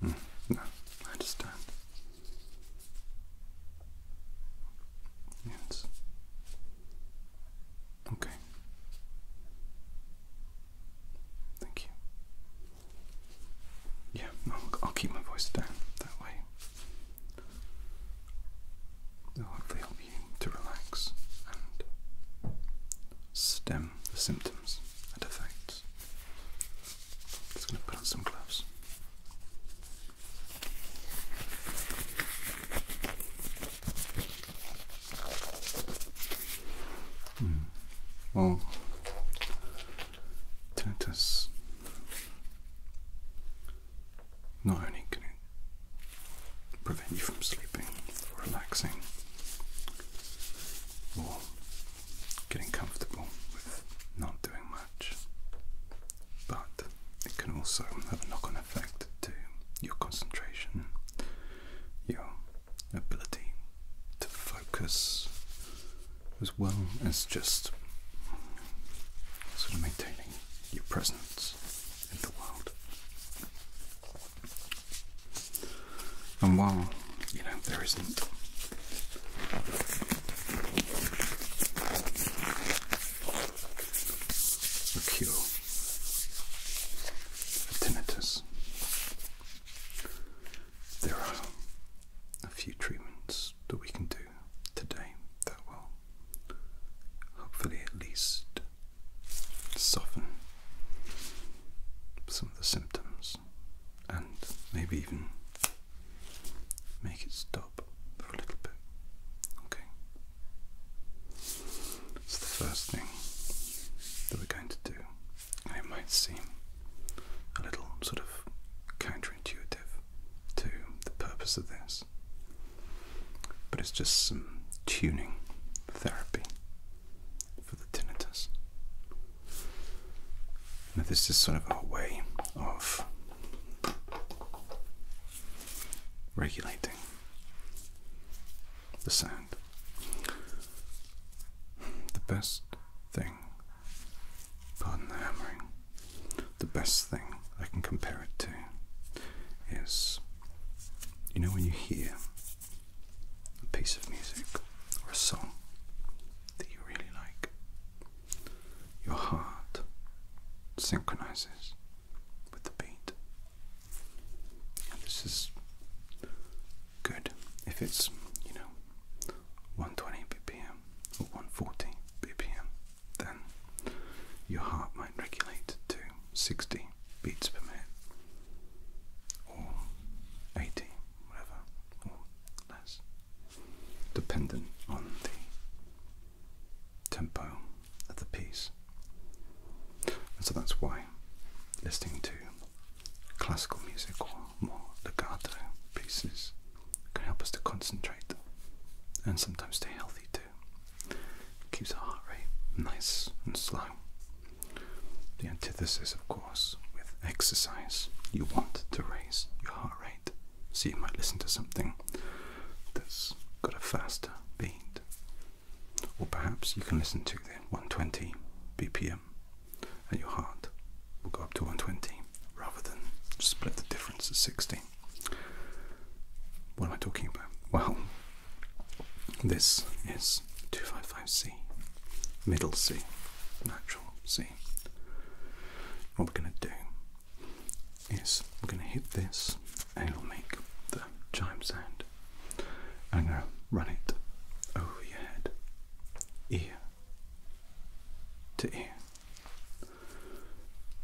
Hmm. no, I Yes. Okay. Thank you. Yeah, I'll keep my voice down that way. It'll hopefully help you to relax and stem the symptoms and effects. Just going to put on some gloves. Well, hmm. oh. tinnitus not only can it prevent you from sleeping or relaxing getting comfortable with not doing much. But it can also have a knock on effect to your concentration, your ability to focus, as well as just sort of maintaining your presence in the world. And while, you know, there isn't a cure for tinnitus, there are a few treatments that we can do today that will hopefully at least soften some of the symptoms and maybe even make it stop for a little bit. Okay. So the first thing that we're going to do, and it might seem a little sort of counterintuitive to the purpose of this, but it's just some tuning therapy for the tinnitus. Now, this is sort of our way of regulating the sound. The best thing, pardon the hammering, the best thing I can compare it to is you know, when you hear a piece of music or a song that you really like, your heart synchronizes with the beat. this is good if it's, you know, 120 BPM or 140 BPM, then your heart might regulate to 60 beats per minute or 80, whatever or less, dependent on the tempo of the piece. And so that's why listening to classical music or more legato pieces can help us to concentrate and sometimes stay healthy too. It keeps our heart rate nice and slow the antithesis, of course, with exercise. You want to raise your heart rate. So you might listen to something that's got a faster beat. Or perhaps you can listen to the 120 BPM and your heart will go up to 120 rather than split the difference at 60. What am I talking about? Well, this is 255. C, middle C, natural C. What we're going to do is we're going to hit this and it'll make the chime sound. I'm going to run it over your head, ear to ear.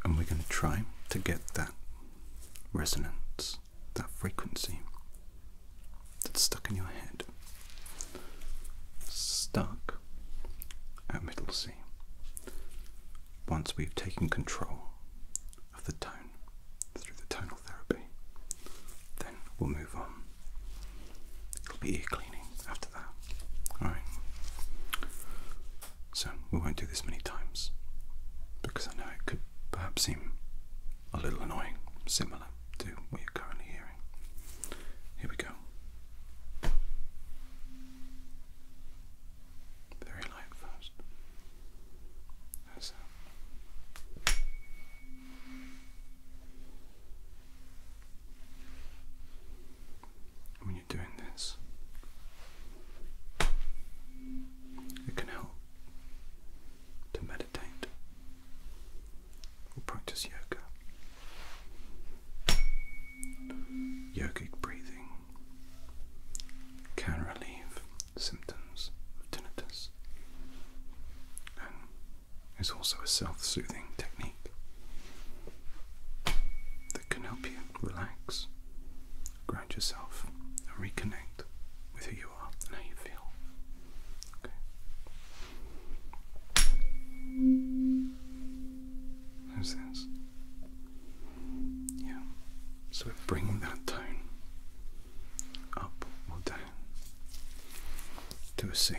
And we're going to try to get that resonance, that frequency that's stuck in your head. Stuck at middle C. Once we've taken control of the tone through the tonal therapy, then we'll move on. It'll be ear cleaning after that. Alright? So we won't do this many times because I know it could perhaps seem a little annoying, similar to what you're currently hearing. Here we go. Very light first. That's it. When you're doing this, it can help to meditate or practice yoga. Yogic breathing can relieve symptoms of tinnitus and is also a self soothing technique that can help you relax, ground yourself, and reconnect with who you are and how you feel. Okay. How's this? Yeah. So we're bringing that tone up or down to a C.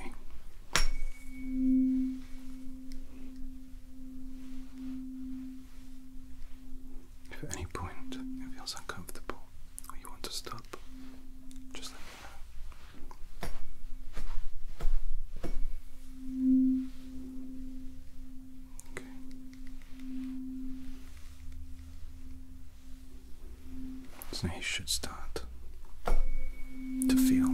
If at any point it feels uncomfortable or you want to stop, just let so he should start to feel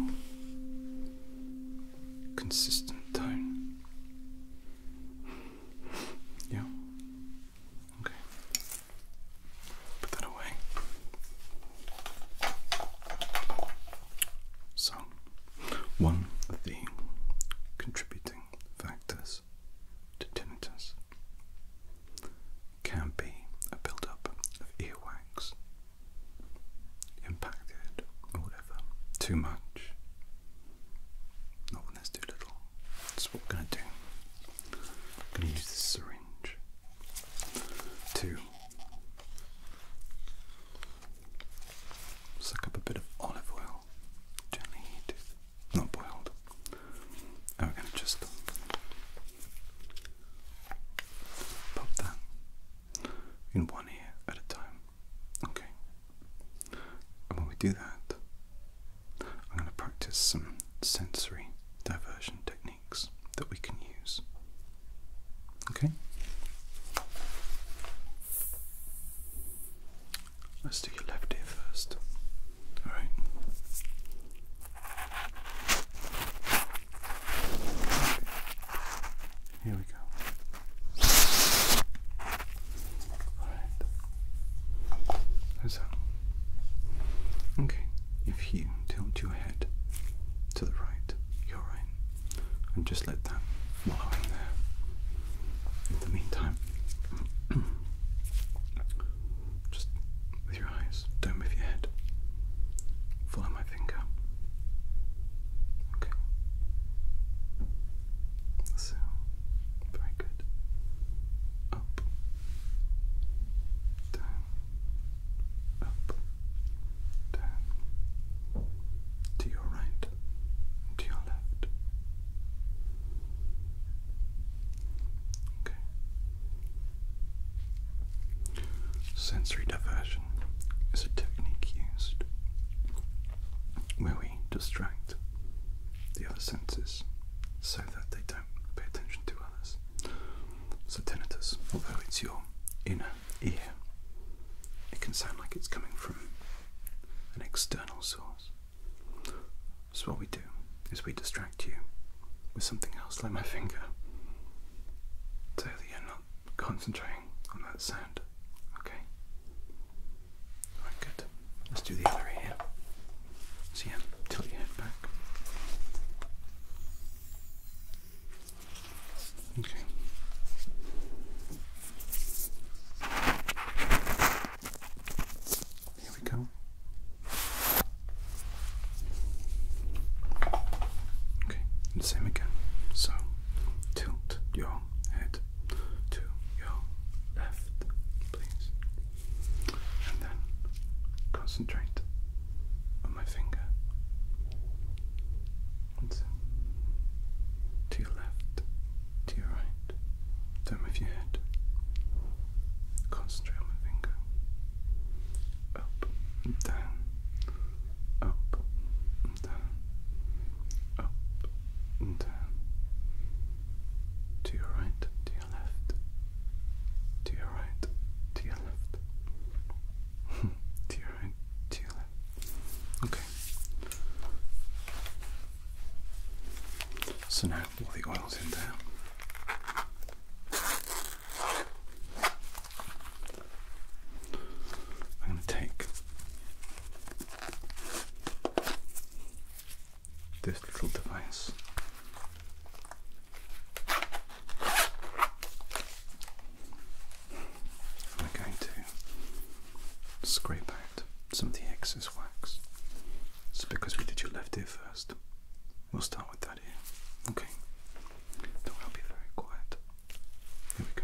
consistent tone. Yeah. Okay. Put that away. So, one of the contributing factors to tinnitus can be a build-up of earwax impacted or whatever too much. Not when there's too little. That's what we're going to do. I'm going to use this syringe to suck up a bit of olive oil, gently heated, not boiled. And we're going to just pop that in one ear at a time. Okay. And when we do that, I'm going to practice some sensory diversion technique that we can use. Okay? Let's do your left ear first. Alright? Here we go. Alright. How's that? Okay, if you tilt your head to the right, your right, and just let that follow in there. In the meantime, just with your eyes, don't move your head. Follow my finger. Okay. So, very good. Up, down, up, down, to your right, to your left. Okay. Sensory diversion is a technique used where we distract the other senses so that they don't pay attention to others. So tinnitus, although it's your inner ear, it can sound like it's coming from an external source. So what we do is we distract you with something else, like my finger, so that you're not concentrating on that sound. Okay. Alright, good. Let's do the other ear. So yeah, tilt your head back. Okay. Here we go. Okay, and same again. So tilt your head to your left, please. And then concentrate on my finger. And to your left, to your right. Don't move your head. Concentrate on my finger. Up and down. Up and down. Up and down. To your right, to your left, to your your left. to right, to left. Okay. So now all the oil's in there. I'm going to take this little device we're going to scrape out some of the excess wax. It's because we did your left ear first, we'll start with that ear. Okay. Don't be very quiet. Here we go.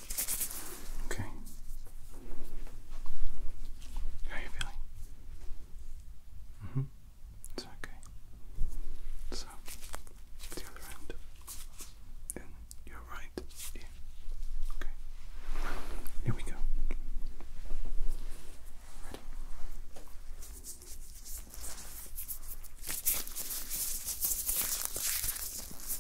Okay. How are you feeling? Mm-hmm. It's okay. So, the other end. And your right ear. Okay. Here we go.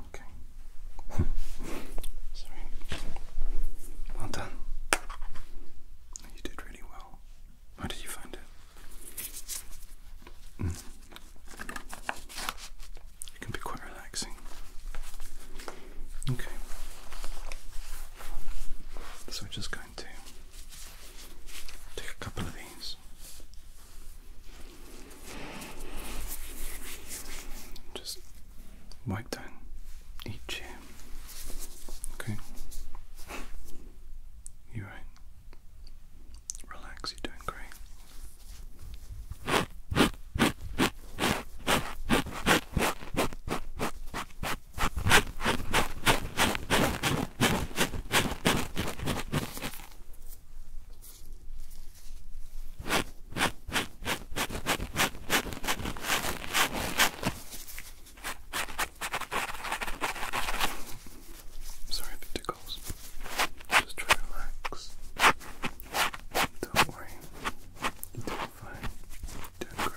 Okay. Sorry. Well done. You did really well. How did you find it? Mm. It can be quite relaxing. Okay. So we're just going to take a couple of these. Just wipe down each ear. Okay. You right? Relax, you're doing great. Sorry if tickles. Just try to relax. Don't worry. You're doing fine. You're doing great.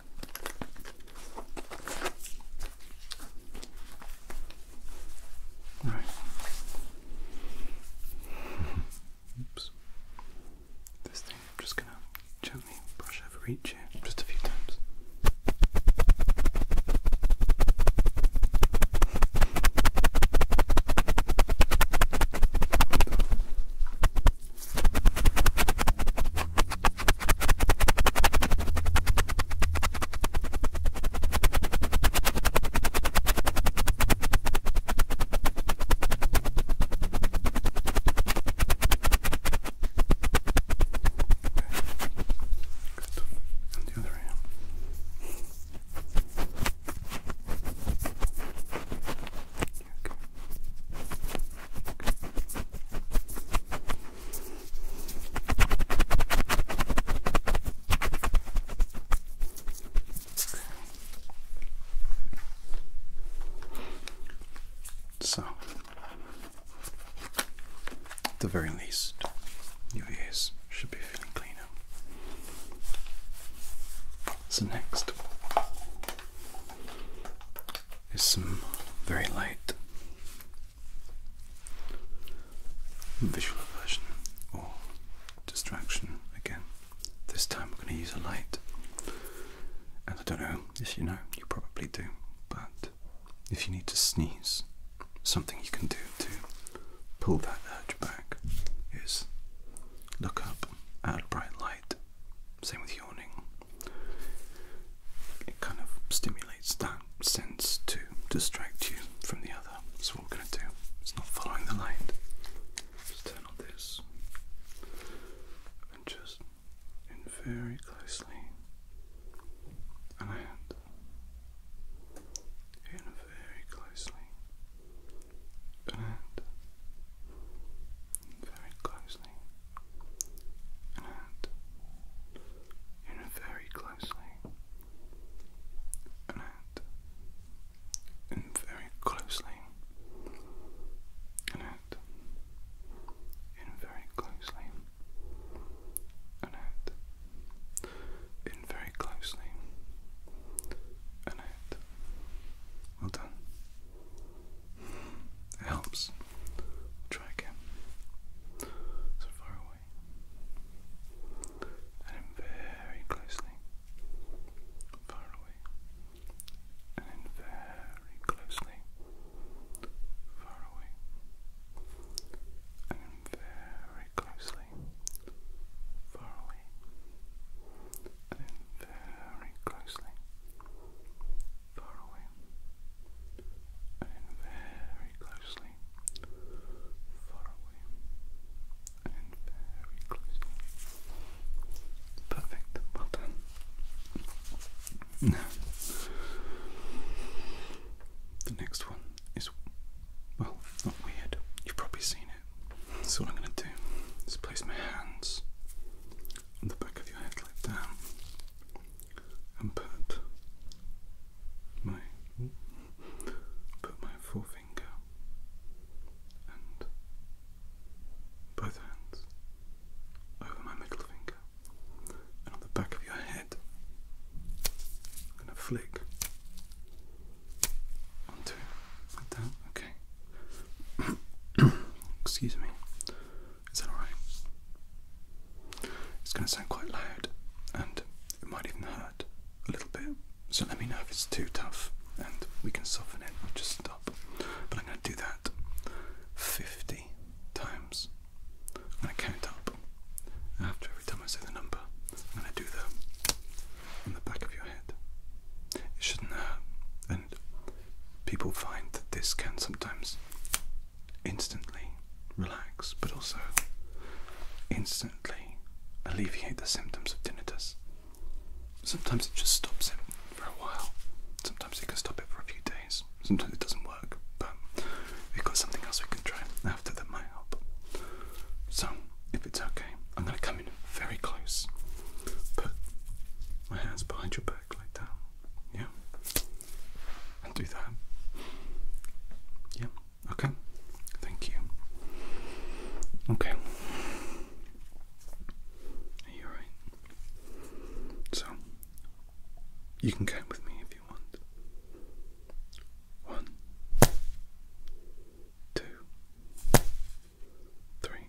Oops. This thing, I'm just gonna gently brush over each ear just a few times. Good. And the other hand. Good. So, at the very least, your ears should be feeling cleaner. So, next, is some very light visual aversion or distraction again. This time we're going to use a light. And I don't know if you know, you probably do, but if you need to sneeze, something you can do to pull that urge back is look up at a bright light. Same with yawning it kind of stimulates that sense to distract you from the other. So, what we're going to do It's not following the light, just turn on this and just in very closely and I out. In very closely and very closely and you know very closely and in very closely and in very closely and in very closely and well done it helps. try again. So far away. And in very closely. Far away. And in very closely. Far away. And in very closely. Far away. And in very closely far away and very closely, far away and very closely. Perfect, well done. Now, the next one is, well, not weird, you've probably seen it. So, what I'm going to do is place my hands on the back of your head, like that and put my put my forefinger and both hands over my middle finger and on the back of your head I'm gonna flick onto like that, okay. Excuse me. Is that alright? It's going to sound quite loud and it might even hurt a little bit. So let me know if it's too tough and we can soften it or just stop. But I'm going to do that 50 times. I'm going to count up. After every time I say the number, I'm going to do that on the back of your head. It shouldn't hurt. And people find that this can sometimes instantly relax, but also instantly alleviate the symptoms of tinnitus. Sometimes it just stops it for a while. Sometimes it can stop it for a few days. Sometimes it doesn't work, but we've got something else we can try after that might help. So, if it's okay, I'm going to come in very close, put my hands behind your back like that. Yeah. And do that. Yeah. Okay. Thank you. Okay. Are you alright? So, you can count with me if you want. One, two, three,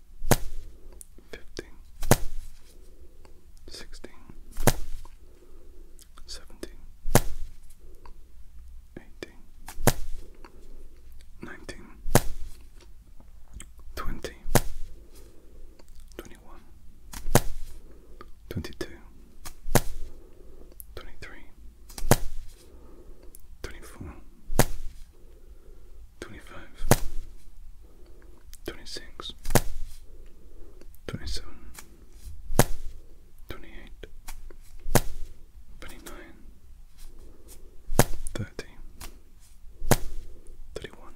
fifteen, sixteen, seventeen, eighteen, nineteen, twenty, twenty-one, twenty-two, twenty-three, twenty-four. 25 twenty-five, twenty-six, twenty-seven, twenty-eight, twenty-nine, thirty, thirty-one,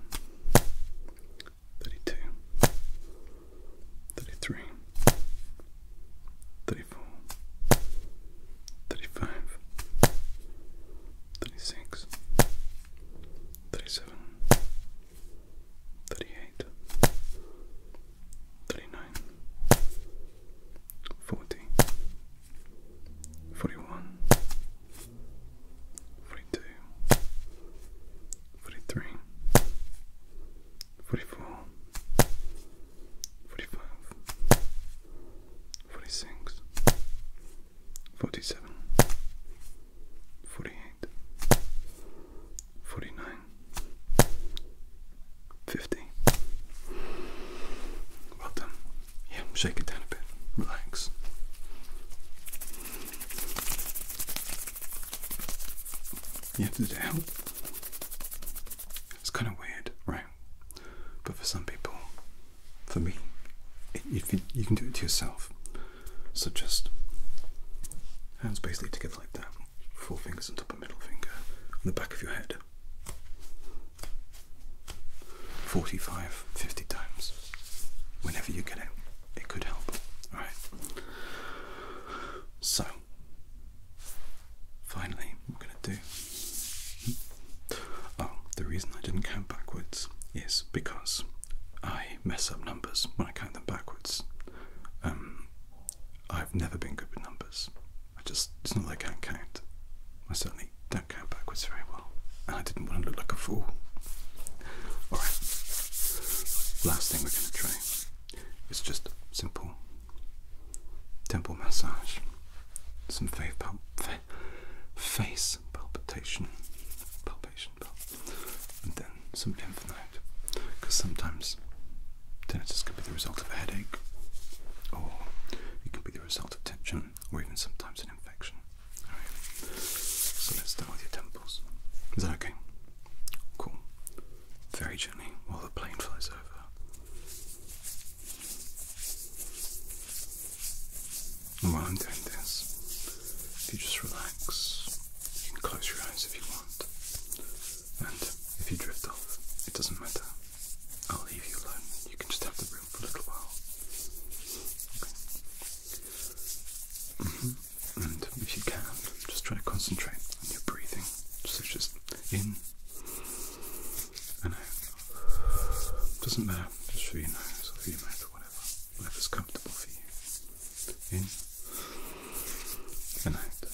thirty-two, thirty-three, thirty-four, thirty-five. 36 37 38 39 40 41 42 43 44 45 46 47 48 49 50 well done yeah shake it down a bit relax yeah did it help it's kind of weird right but for some people for me. you, can do it to yourself. So just hands basically together like that. Four fingers on top of middle finger on the back of your head. 45, 50 times. Whenever you get it, it could help. Alright. So, finally, what i going to do Oh, the reason I didn't count backwards is because I mess up numbers when I count them backwards. Um, I've never been good with numbers. I just, it's not like I can't count. I certainly don't count backwards very well. And I didn't want to look like a fool. Alright, last thing we're going to try is just simple temple massage. Some face, face yes, palpitation, palpation, and then some lymph because sometimes tinnitus could be the result of a headache, or it could be the result of tension, or even sometimes an infection. Alright, so let's start with your temples. Is that okay? Cool. Very gently while the plane flies over while I'm doing this, if you just relax, you can close your eyes if you want. And if you drift off, it doesn't matter. I'll leave you alone. You can just have the room for a little while. Okay. Mm -hmm. And if you can, just try to concentrate on your breathing. So just in and out. Doesn't matter, just for your nose or through your mouth or whatever, whatever's comfortable for you. In and out. So.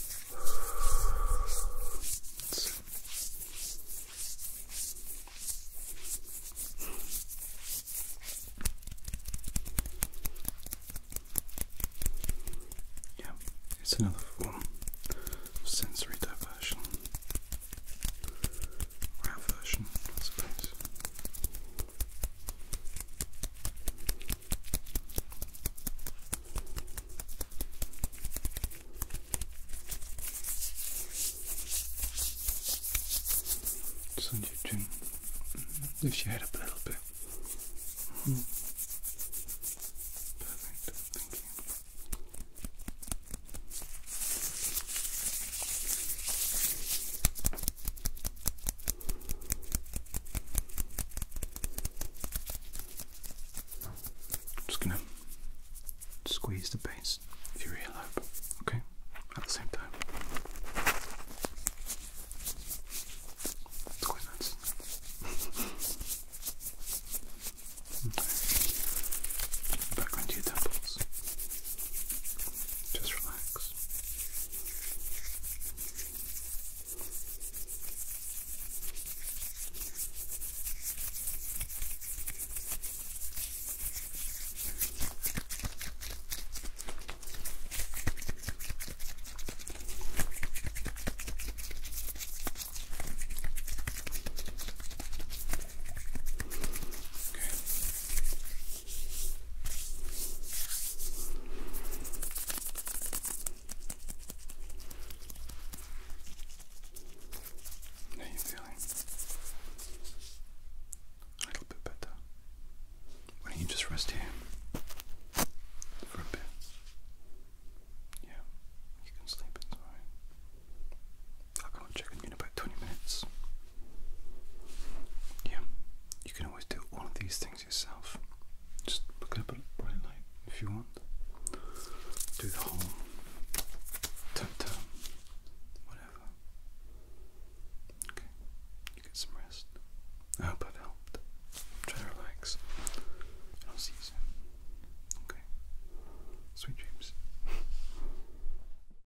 Yeah, it's another form of sensory diversion. Our version, I suppose. Send Lift your head up a little bit. Mm-hmm. Perfect, just gonna squeeze the base of your earlobe, okay? At the same time. It's quite nice. okay. Back onto your temples. Just relax. Okay are you feeling? A little bit better. Why don't you just rest here for a bit? Yeah, you can sleep, it's alright. I'll go and check in in about 20 minutes. Yeah, you can always do all of these things yourself. Just look at a bright light if you want. Do the whole tap tap, whatever. Okay, you get some rest. I hope I've helped. Try to relax. I'll see you soon. Okay. Sweet dreams.